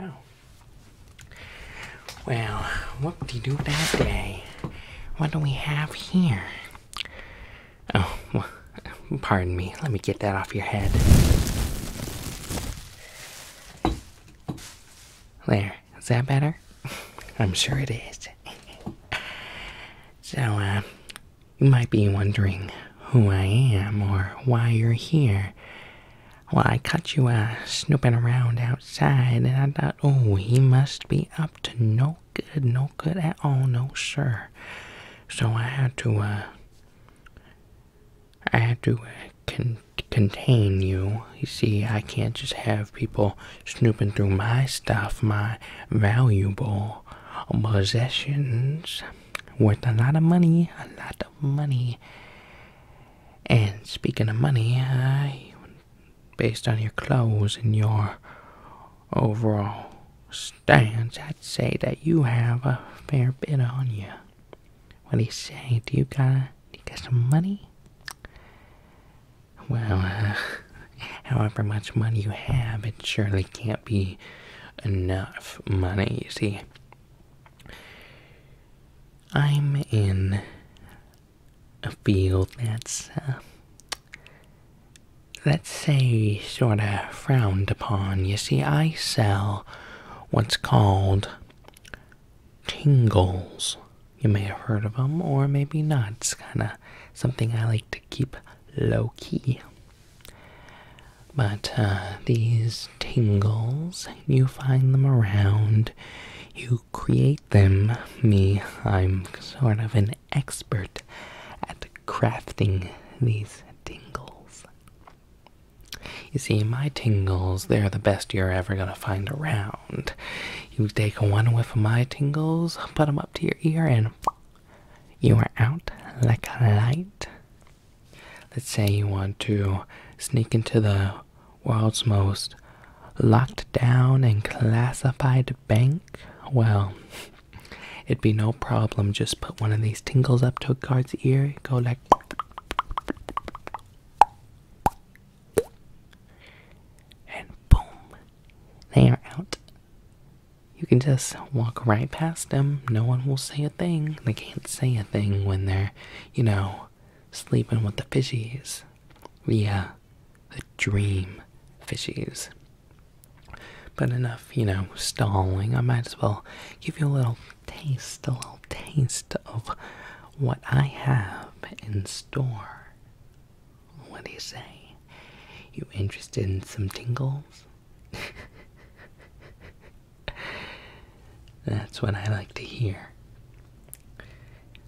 Oh. Well, what do you do that day? What do we have here? Oh, pardon me. Let me get that off your head. There. Is that better? I'm sure it is. so, uh, you might be wondering who I am or why you're here. Well, I caught you uh, snooping around outside, and I thought, oh, he must be up to no good, no good at all, no sir. So I had to, uh, I had to uh, contain you. You see, I can't just have people snooping through my stuff, my valuable possessions worth a lot of money, a lot of money. And speaking of money, I based on your clothes and your overall stance, I'd say that you have a fair bit on you. What do you say? Do you got, do you got some money? Well, uh, however much money you have, it surely can't be enough money, you see. I'm in a field that's, uh, let's say, sort of frowned upon. You see, I sell what's called tingles. You may have heard of them, or maybe not. It's kind of something I like to keep low key. But uh, these tingles, you find them around, you create them. Me, I'm sort of an expert at crafting these tingles. You see, my tingles, they're the best you're ever gonna find around. You take one whiff of my tingles, put them up to your ear, and you are out like a light. Let's say you want to sneak into the world's most locked down and classified bank? Well, it'd be no problem. Just put one of these tingles up to a guard's ear, go like. And boom, they are out. You can just walk right past them. No one will say a thing. They can't say a thing when they're, you know, sleeping with the fishies. Yeah, the dream fishies. But enough, you know, stalling. I might as well give you a little taste, a little taste of what I have in store. What do you say? You interested in some tingles? That's what I like to hear.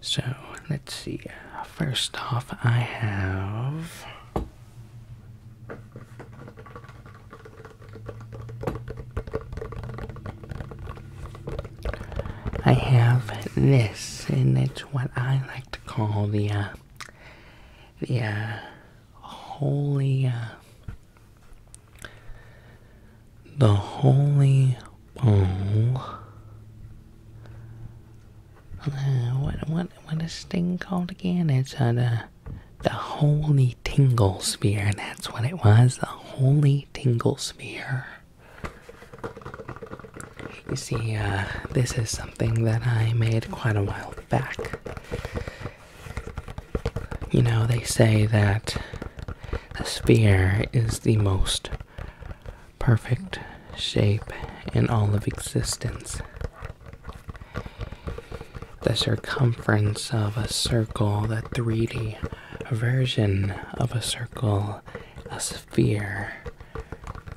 So let's see. First off, I have. I have this, and it's what I like to call the uh, uh, uh, the holy the holy Oh. what what what is this thing called again? It's uh, the the holy tingle sphere. That's what it was. The holy tingle sphere. You see, uh, this is something that I made quite a while back. You know, they say that the sphere is the most perfect shape in all of existence. The circumference of a circle, the 3D version of a circle, a sphere.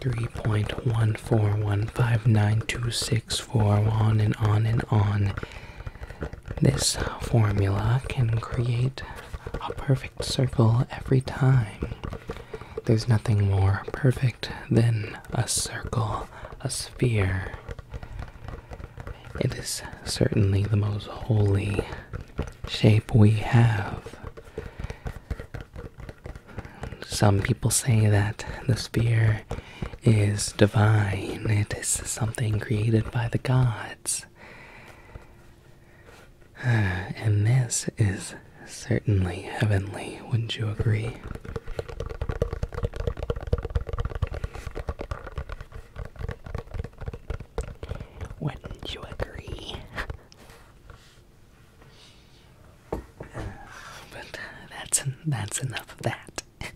3.141592641 on and on and on. This formula can create a perfect circle every time. There's nothing more perfect than a circle, a sphere. It is certainly the most holy shape we have. Some people say that the sphere is divine, it is something created by the gods. and this is certainly heavenly, wouldn't you agree? Wouldn't you agree? but that's that's enough of that.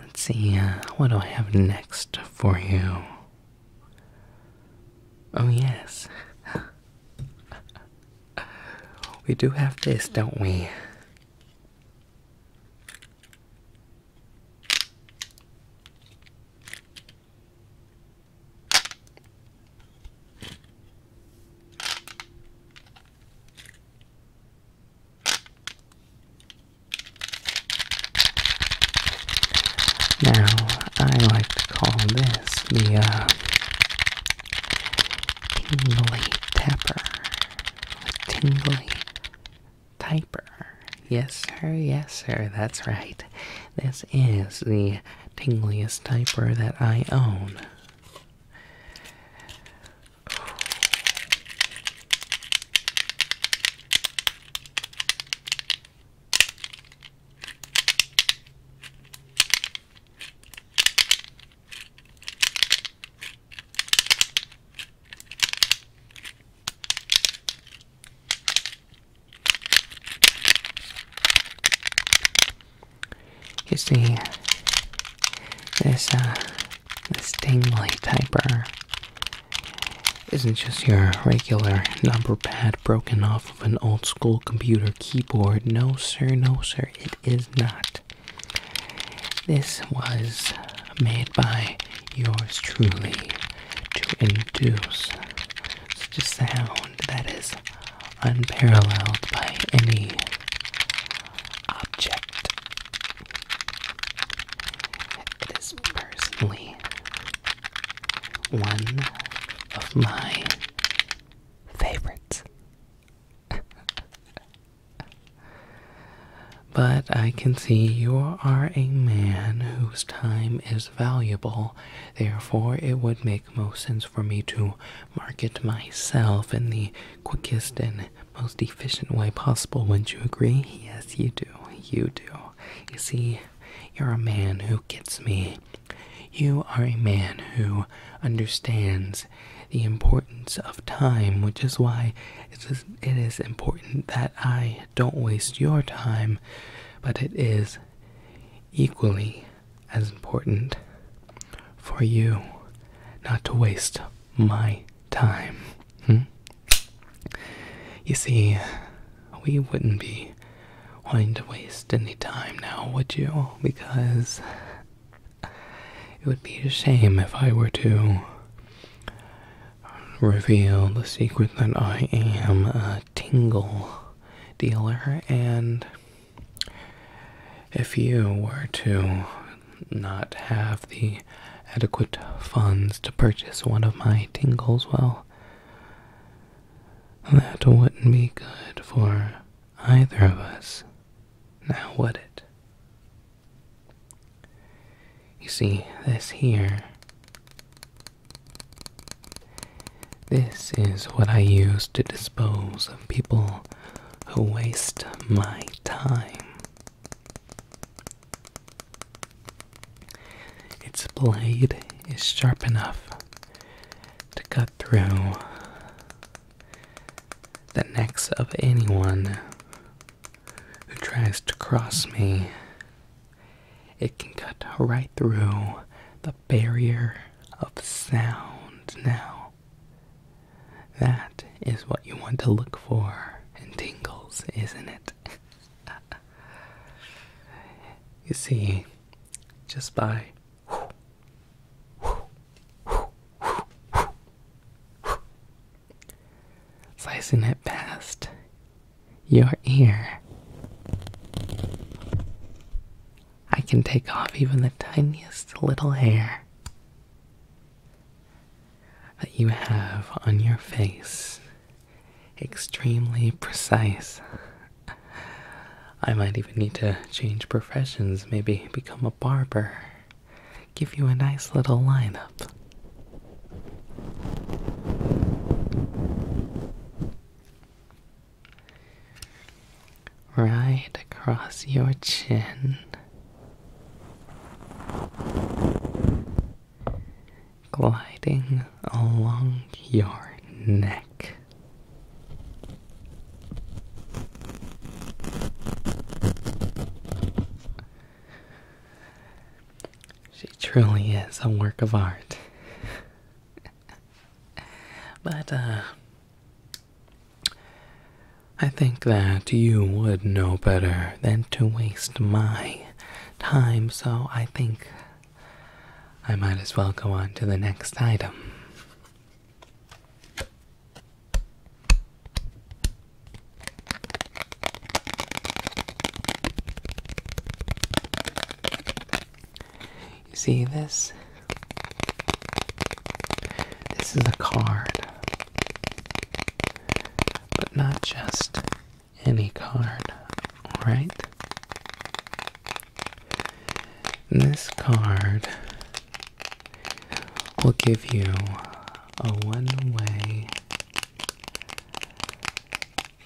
Let's see, uh, what do I have next for you? Oh, yes. we do have this, don't we? Now, I like to call this the uh, tingly tapper, Yes, sir. Yes, sir. That's right. This is the tingliest typer that I own. You see, this uh, this Stingray isn't just your regular number pad broken off of an old school computer keyboard. No, sir, no, sir, it is not. This was made by yours truly to induce such a sound that is unparalleled by any object. It is personally one of my favorites. but I can see you are a man whose time is valuable, therefore, it would make most sense for me to market myself in the quickest and most efficient way possible. Wouldn't you agree? Yes, you do. You do. You see, you're a man who gets me. You are a man who understands the importance of time, which is why it is important that I don't waste your time, but it is equally as important for you not to waste my time. Hmm? You see, we wouldn't be wanting to waste any time now, would you? Because it would be a shame if I were to reveal the secret that I am a tingle dealer, and if you were to not have the adequate funds to purchase one of my tingles, well, that wouldn't be good for either of us, now would it? You see, this here. This is what I use to dispose of people who waste my time. Its blade is sharp enough to cut through the necks of anyone who tries to cross me. It can cut right through the barrier of sound now. That is what you want to look for in tingles, isn't it? you see, just by slicing it past your ear, I can take off even the tiniest little hair that you have on your face extremely precise. I might even need to change professions, maybe become a barber. Give you a nice little line up Right across your chin gliding along your neck. She truly is a work of art. but, uh, I think that you would know better than to waste my time, so I think I might as well go on to the next item. You see this? This is a card, but not just any card, right? This card will give you a one way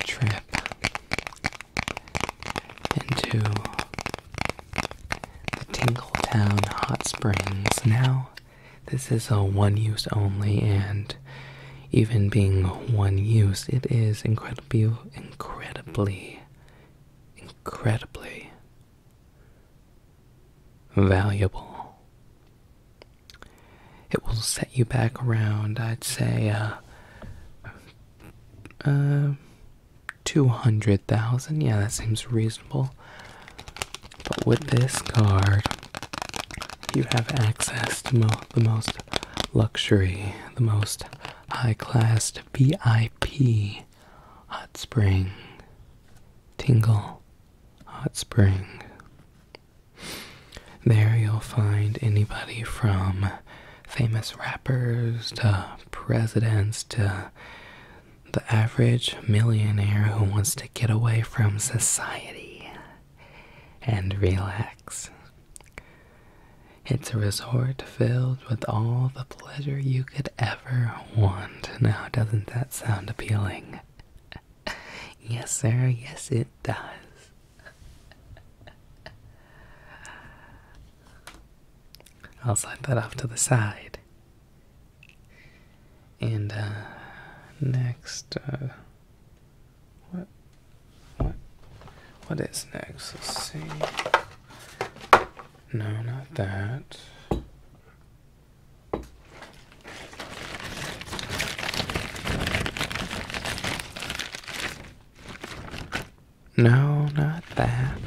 trip into the Tingle Town Hot Springs. Now, this is a one use only, and even being one use, it is incredibly, incredibly, incredibly valuable. It will set you back around, I'd say, uh, uh, 200,000. Yeah, that seems reasonable. But with this card, you have access to the most luxury, the most high class VIP hot spring. Tingle Hot Spring. There you'll find anybody from famous rappers to presidents to the average millionaire who wants to get away from society and relax. It's a resort filled with all the pleasure you could ever want. Now, doesn't that sound appealing? yes, sir, yes, it does. I'll slide that off to the side. And uh, next, uh, what? What? What is next? Let's see. No, not that. No, not that.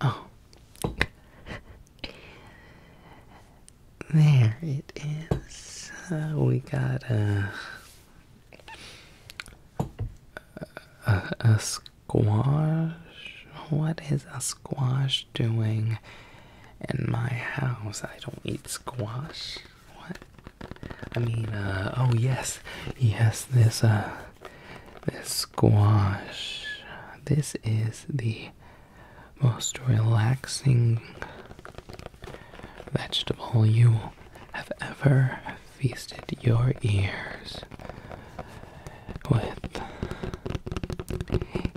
Oh. there it is. Uh, we got a, a squash. What is a squash doing in my house? I don't eat squash. What? I mean, uh, oh yes, yes, this, uh, this squash. This is the most relaxing vegetable you have ever feasted your ears with.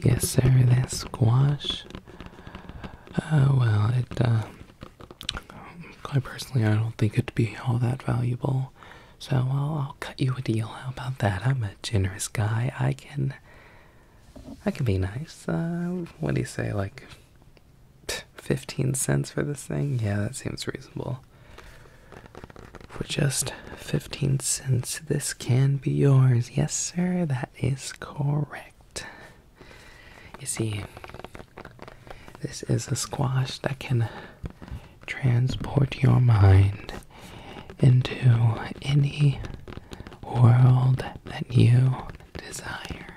Yes, sir, that squash. Uh, well, it, uh, I personally, I don't think it'd be all that valuable so I'll, cut you a deal. How about that? I'm a generous guy. I can, I can be nice. Uh, what do you say? Like, fifteen cents for this thing? Yeah, that seems reasonable. For just fifteen cents, this can be yours. Yes, sir. That is correct. You see, this is a squash that can transport your mind into any world that you desire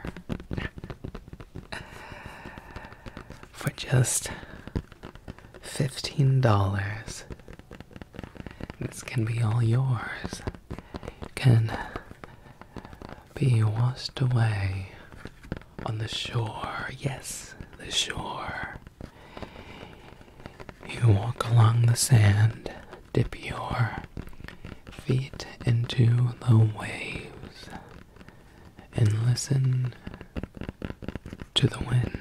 for just $15. This can be all yours. It can be washed away on the shore. Yes, the shore you walk along the sand, dip your feet into the waves, and listen to the wind.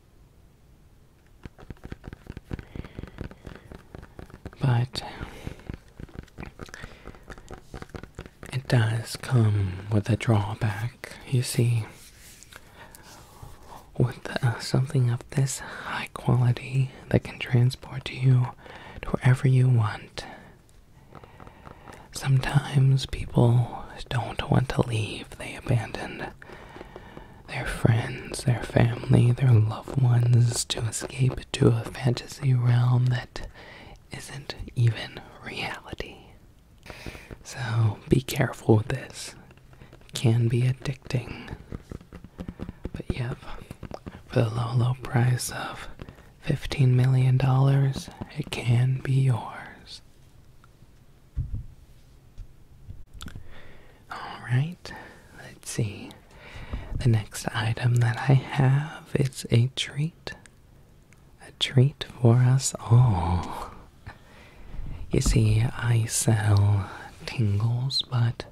But it does come with a drawback, you see. With uh, something of this high quality that can transport you to wherever you want, sometimes people don't want to leave, they abandon their friends, their family, their loved ones to escape to a fantasy realm that isn't even reality. So be careful with this. can be addicting. But yep, for the low, low price of $15 million, it can be yours. Alright, let's see. The next item that I have is a treat. A treat for us all. You see, I sell tingles, but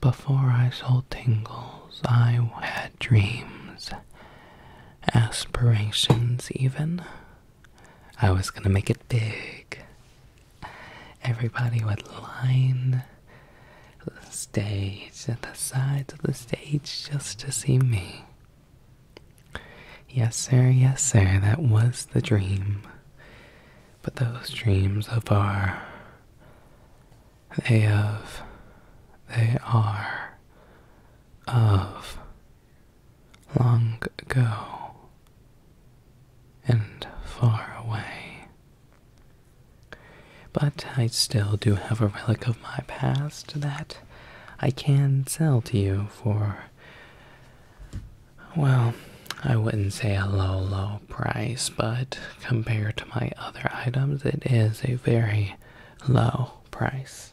before I sold tingles, I had dreams, aspirations, even. I was gonna make it big. Everybody would line the stage at the sides of the stage just to see me. Yes, sir, yes, sir, that was the dream. But those dreams of our. They of. They are. Of long ago and far away. But I still do have a relic of my past that I can sell to you for, well, I wouldn't say a low, low price, but compared to my other items, it is a very low price.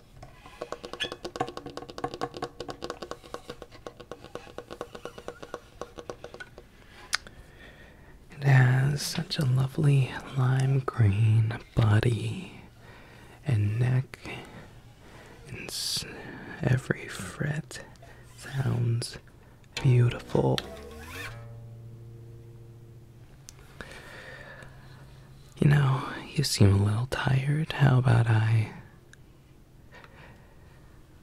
It has such a lovely lime green body and neck, and every fret sounds beautiful. You know, you seem a little tired. How about I.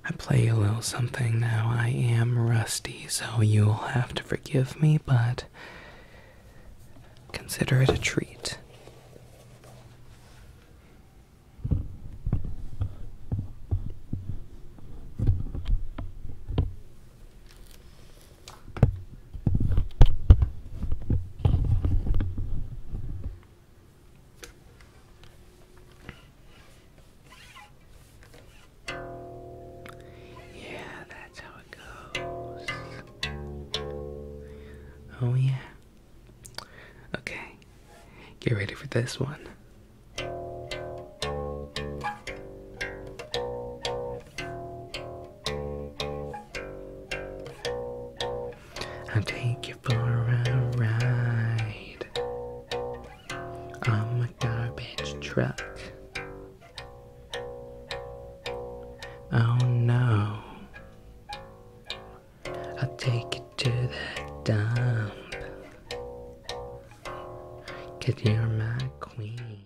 I play a little something now. I am rusty, so you'll have to forgive me, but consider it a treat. Yeah, that's how it goes. Oh, yeah. Okay, get ready for this one. I'll take you for a ride on a garbage truck. Oh no, I'll take you to the dump. Cause you're my queen.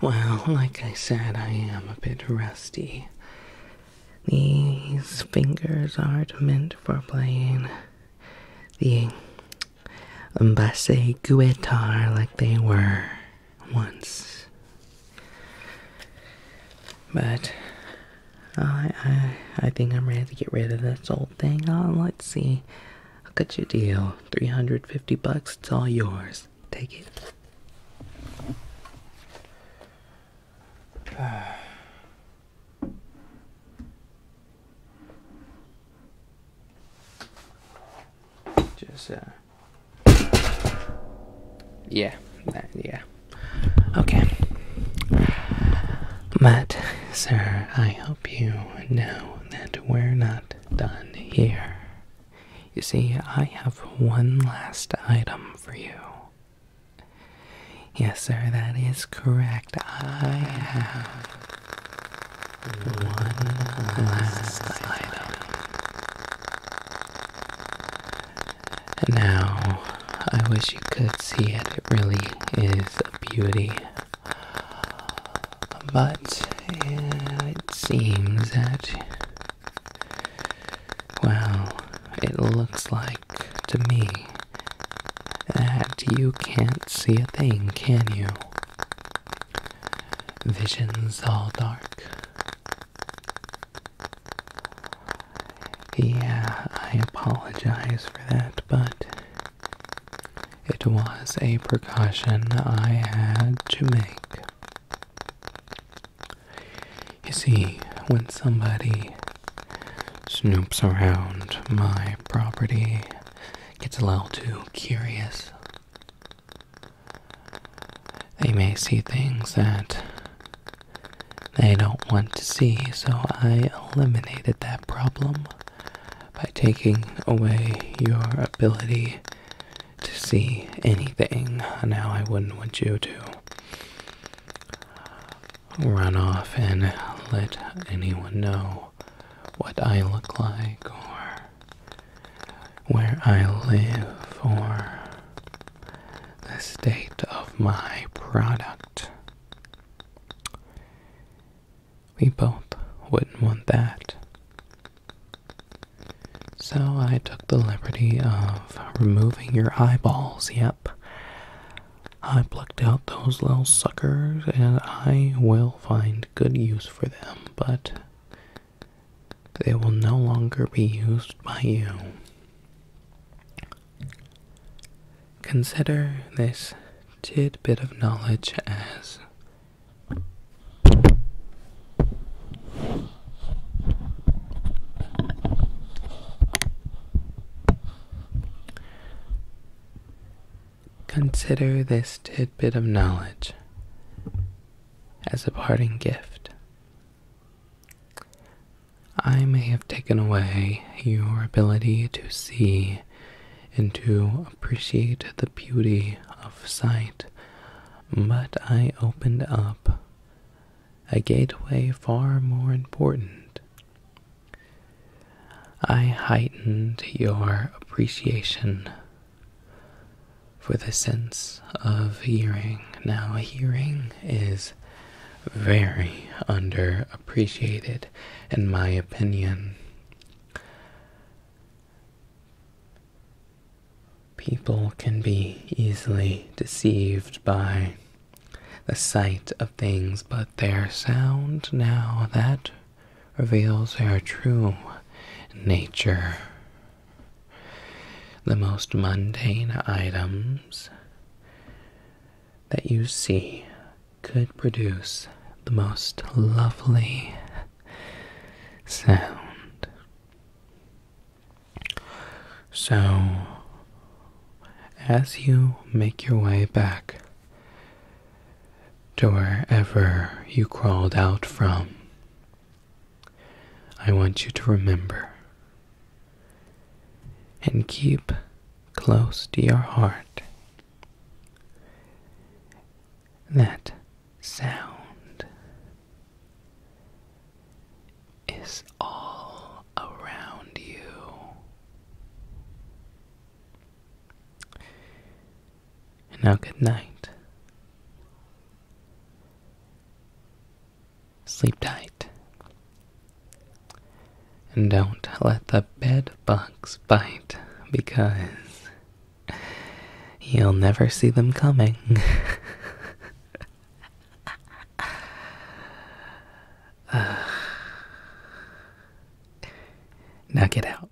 Well, like I said, I am a bit rusty. These fingers aren't meant for playing the basse guitar like they were once. But I I I think I'm ready to get rid of this old thing. On oh, let's see. I'll cut you a deal. 350 bucks, it's all yours. Take it. Just uh yeah, yeah. Okay. But, sir, I hope you know that we're not done here. You see, I have one last item for you. Yes, sir, that is correct. I have one last item. Now, I wish you could see it. It really is a beauty. But it seems that, well, it looks like to me that you can't see a thing, can you? Visions all dark. Yeah, I apologize for that, but it was a precaution I had to make. You see, when somebody snoops around my property, gets a little too curious, they may see things that they don't want to see, so I eliminated that problem by taking away your ability to see anything. Now, I wouldn't want you to run off and let anyone know what I look like or where I live or the state of my product. We both wouldn't want that. So I took the liberty of removing your eyeballs, yep. I plucked out those little suckers and I will find good use for them, but they will no longer be used by you. Consider this tidbit of knowledge as Consider this tidbit of knowledge as a parting gift. I may have taken away your ability to see and to appreciate the beauty of sight, but I opened up a gateway far more important. I heightened your appreciation for the sense of hearing. Now, hearing is very underappreciated, in my opinion. People can be easily deceived by the sight of things, but their sound now, that reveals their true nature. The most mundane items that you see could produce the most lovely sound. So, as you make your way back to wherever you crawled out from. I want you to remember and keep close to your heart that sound is all around you. And now, good night. Sleep tight. And don't let the bed bugs bite because you'll never see them coming. uh, now get out.